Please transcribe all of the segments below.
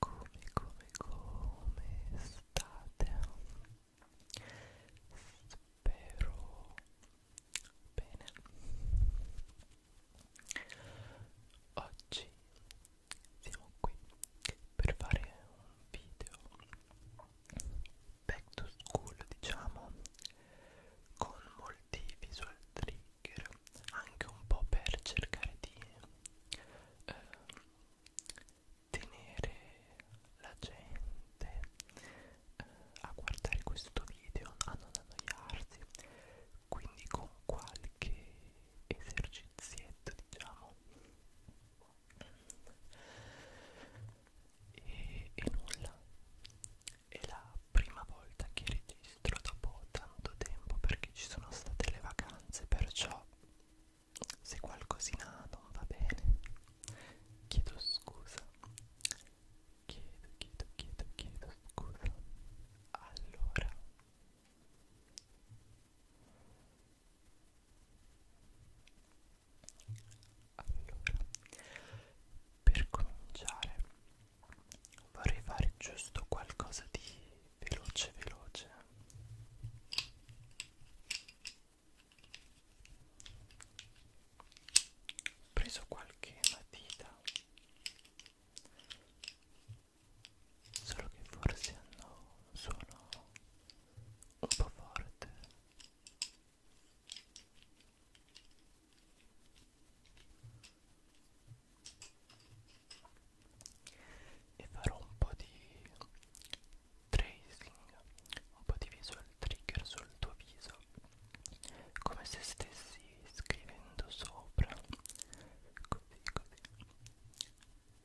come come come state spero bene oggi siamo qui per fare un video back to school diciamo con molti visual trigger trigger anche un po' per cercare di eh, tenere la gente eh, a guardare questo video, a non annoiarsi, quindi con qualche esercizietto diciamo e, e nulla è la prima volta che registro dopo tanto tempo perché ci sono state le vacanze, perciò se qualcosina non va bene chiedo scusa. Chiedo, chiedo, chiedo, chiedo scusa. Allora allora per cominciare vorrei fare giusto qualcosa di veloce veloce ho preso qualche matita solo che forse hanno un suono un po' forte e farò un po' di tracing un po' di visual trigger sul tuo viso come se stessi scrivendo sopra così così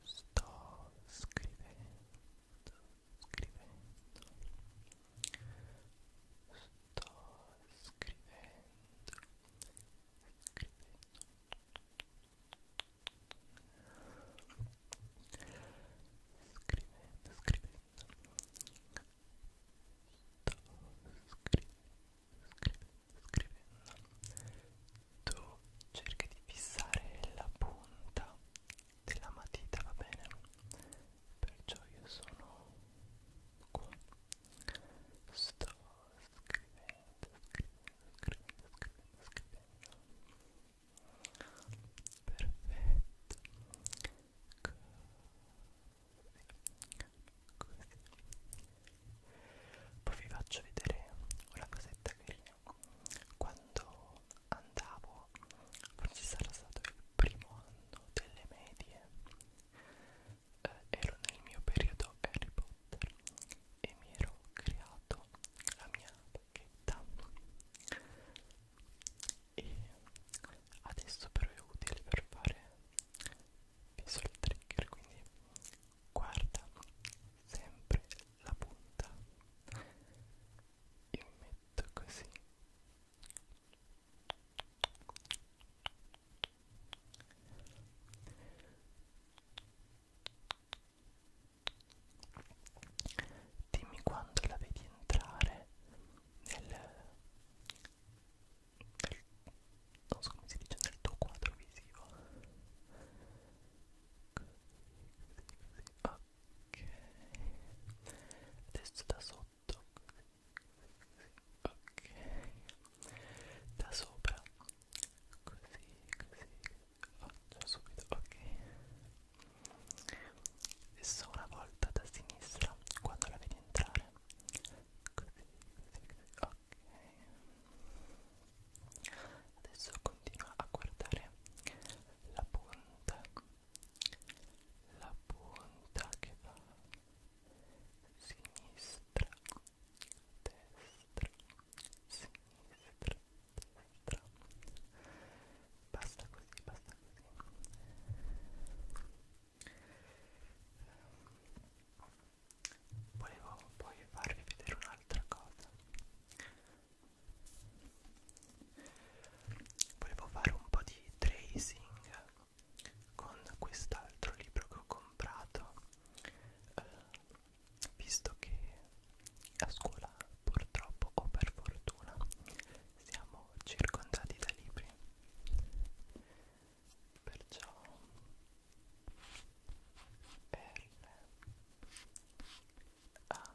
sto scrivendo scrivendo sto scrivendo scrivendo scrivendo scrivendo sto scrivendo scrivendo tu cerca di fissare la punta della matita va bene perciò io sono qua sto scrivendo, scrivendo, scrivendo, scrivendo, scrivendo perfetto così, così poi vi faccio vedere una cosetta carina quando andavo forse sarà stato il primo anno delle medie eh, ero nel mio periodo Harry Potter e mi ero creato la mia pacchetta e adesso però è utile per fare visual trigger quindi guarda sempre la punta io metto così Dimmi quando la vedi entrare nel, nel non so come si dice nel tuo quadro visivo. Così, così, così. Ok. Adesso da sotto petto ok da sopra così così faccio subito ok e solo una volta da sinistra quando la vedi entrare così così così ok adesso continua a guardare la punta la punta che va sinistra, destra, sinistra, destra. Basta così, basta così. Volevo poi farvi vedere un'altra cosa volevo fare un po' di tracing con quest'altro libro che ho comprato eh, visto che a scuola purtroppo o per fortuna siamo circondati da libri perciò per A ah,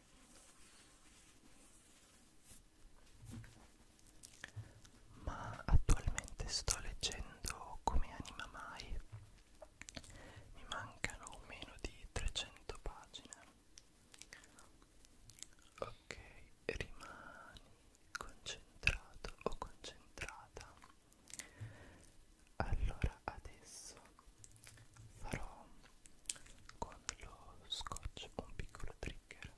ma attualmente sto leggendo come anima mai mi mancano meno di 300 pagine ok rimani concentrato o concentrata allora adesso farò con lo scotch un piccolo trigger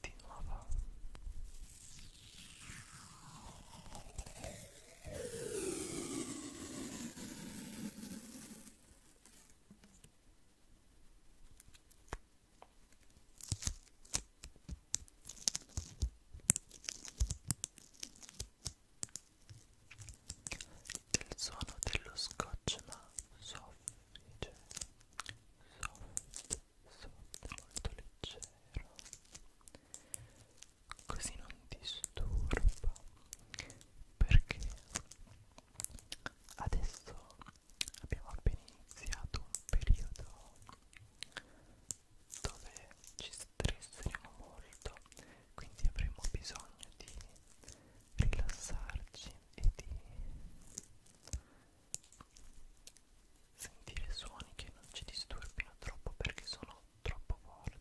di nuovo il suono dello scotch ma soffice cioè, soffice soft, molto leggero così non disturba perché adesso abbiamo appena iniziato un periodo dove ci stresseremo molto quindi avremo bisogno di rilassarci e di sentire suoni che non ci disturbino troppo perché sono troppo forti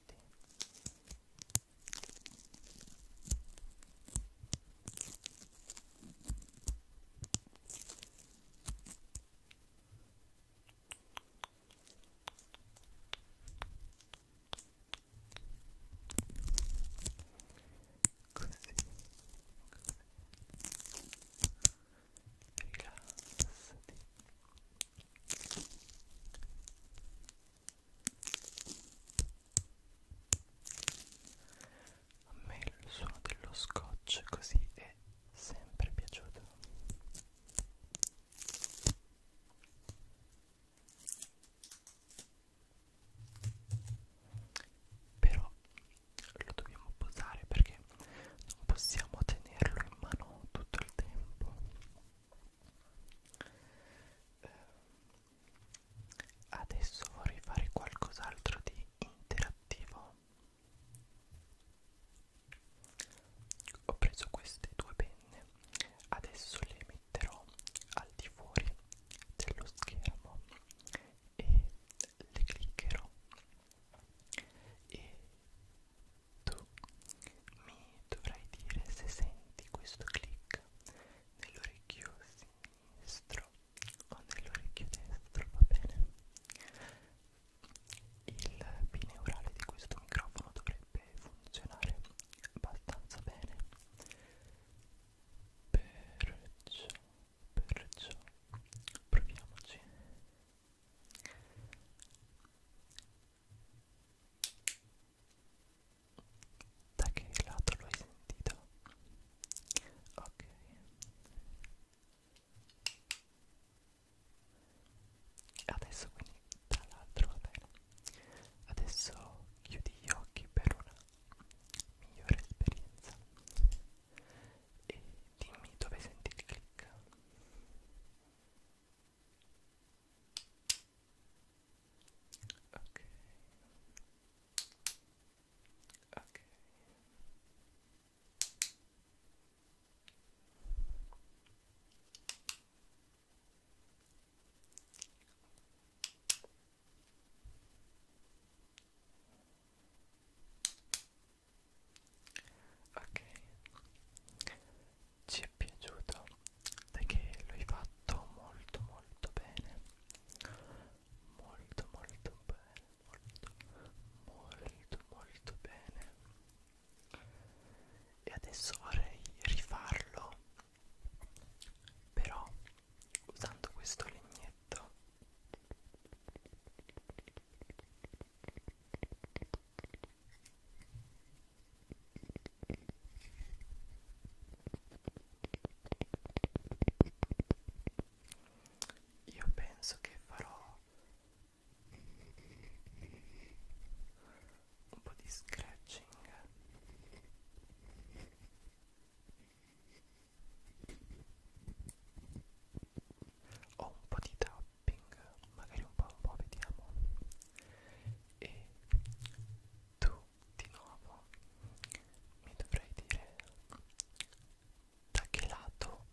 così rilassati a me il suono dello scotch così è sempre piaciuto però lo dobbiamo posare perché non possiamo tenerlo in mano tutto il tempo eh, adesso vorrei fare qualcos'altro di interattivo ho preso queste due penne adesso le metterò al di fuori dello schermo e le cliccherò e tu mi dovrai dire se senti questo click nell'orecchio sinistro o nell'orecchio destro, va bene? Il bineurale di questo microfono dovrebbe funzionare abbastanza bene. Perciò Perciò proviamoci. Da che lato l'hai sentito? Ok. Adesso quindi dall'altro va bene. Adesso chiudi gli occhi per un attimo migliore esperienza e dimmi dove senti il click ok ok ok ok ci è piaciuto perché l'hai fatto molto molto bene molto molto bene molto molto molto bene e adesso vorrei rifarlo però usando questo legnetto io penso che farò un po' di scratching ho un po' di tapping magari un po' un po' vediamo e tu di nuovo mi dovrai dire da che lato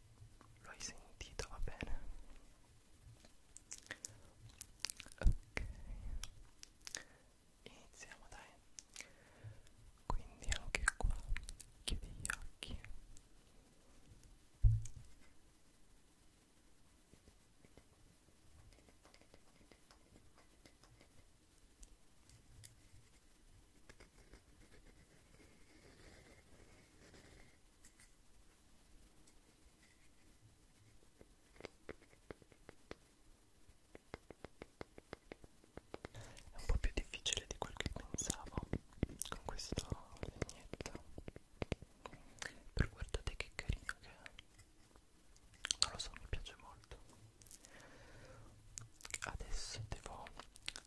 lo hai sentito va bene ok iniziamo dai quindi anche qua chiudi gli occhi è un po' più difficile di quel che pensavo con questa vignetta. Però guardate che carino che è. Non lo so, mi piace molto. Adesso devo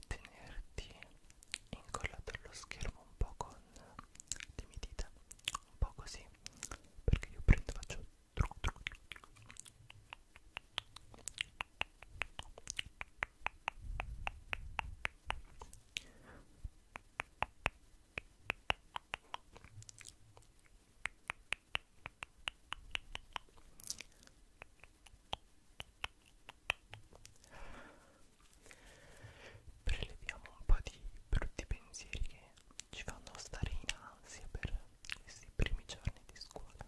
tenerti incollato allo schermo un po' con le mie dita, un po' così, perché io prendo, faccio Preleviamo un po' di brutti pensieri che ci fanno stare in ansia per questi primi giorni di scuola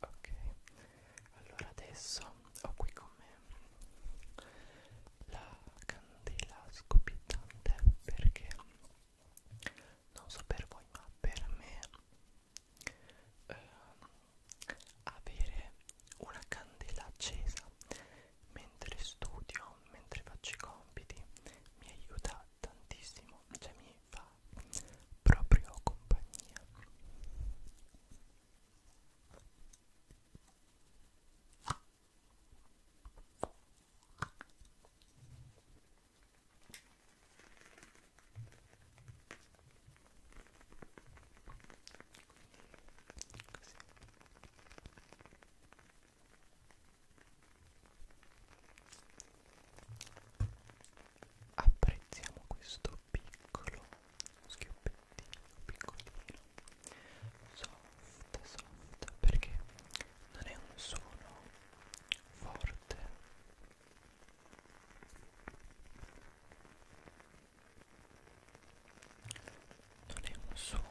ok allora adesso ho qui con me la candela scoppiettante perché non so per voi ma per me eh, avere una candela accesa mentre studio, mentre faccio i compiti, mi aiuta tantissimo, cioè mi fa proprio compagnia. Apprezziamo questo piccolo schioppettino, piccolino, soft, soft, perché non è un suono forte non è un suono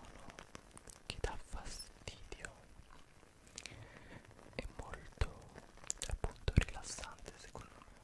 che dà fastidio è molto appunto rilassante secondo me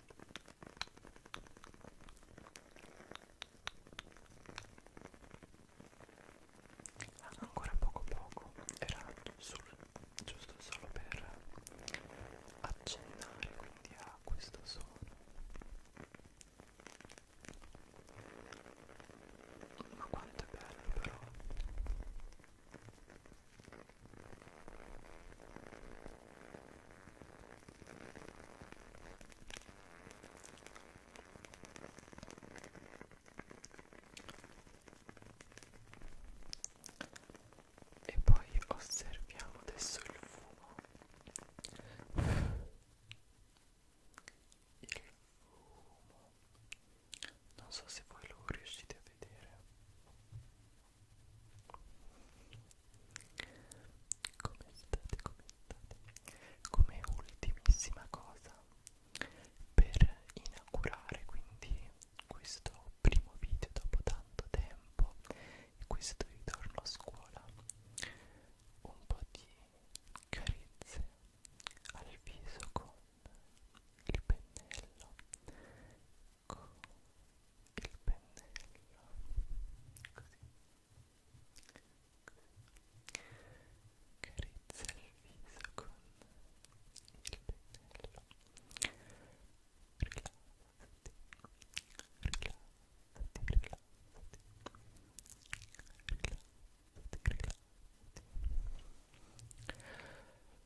ancora poco poco era sul, giusto solo per accennare quindi a questo suono ma quanto è bello però e poi osserviamo adesso il fumo. Il fumo. Non so se voi lo riuscite a vedere. Come state, come state? Come ultimissima cosa per inaugurare quindi questo primo video dopo tanto tempo e questo ritorno a scuola un po' di carezze al viso con il pennello ecco il pennello così carezza il viso con il pennello rilassati rilassati rilassati rilassati rilassati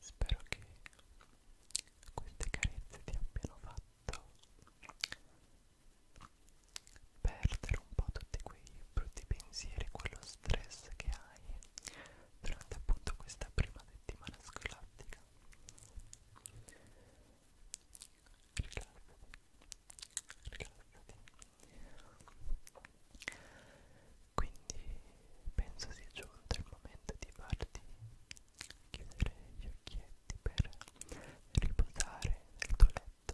Spero che queste carezze ti abbiano fatto perdere un po' tutti quei brutti pensieri, quello stress che hai durante appunto questa prima settimana scolastica. Rilassati, rilassati quindi penso sia giunto il momento di farti chiudere gli occhietti per riposare nel tuo letto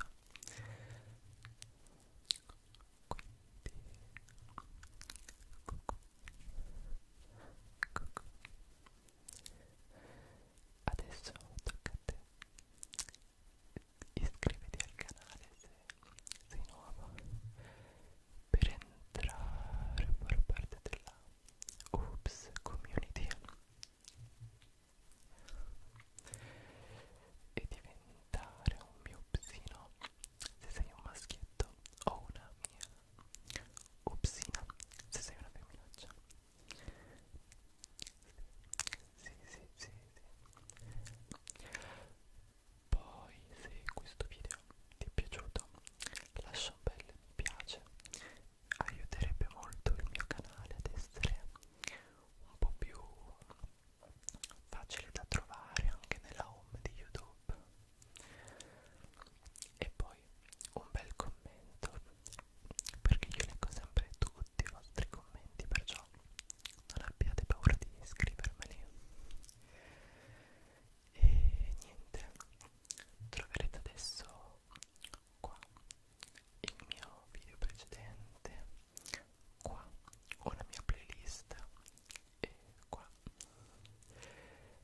quindi cucù, cucù. adesso tocca a te iscriviti al canale se si innova per entrare a far parte della Oops Community e diventare un mio psino se sei un maschietto o una mia opsina se sei una femminaccia sì sì sì sì poi se questo video ti è piaciuto lascia un bel mi piace, aiuterebbe molto il mio canale ad essere un po' più facile da trovare anche nella home di YouTube. E poi un bel commento perché io leggo sempre tutti i vostri commenti, perciò non abbiate paura di scrivermeli e niente troverete adesso qua il mio video precedente qua una mia playlist e qua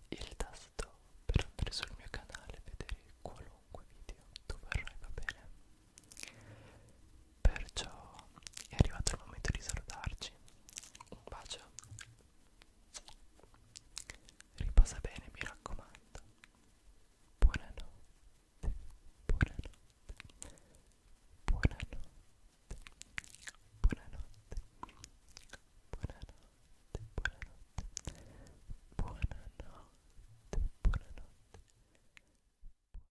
il tasto per andare sul mio canale e vedere qualunque video dove vorrai va bene Perciò è arrivato il momento di salutarci. Un bacio. Riposa bene, mi raccomando. Buonanotte. Buonanotte. Buonanotte. Buonanotte. Buonanotte. Buonanotte. Buonanotte. Buonanotte.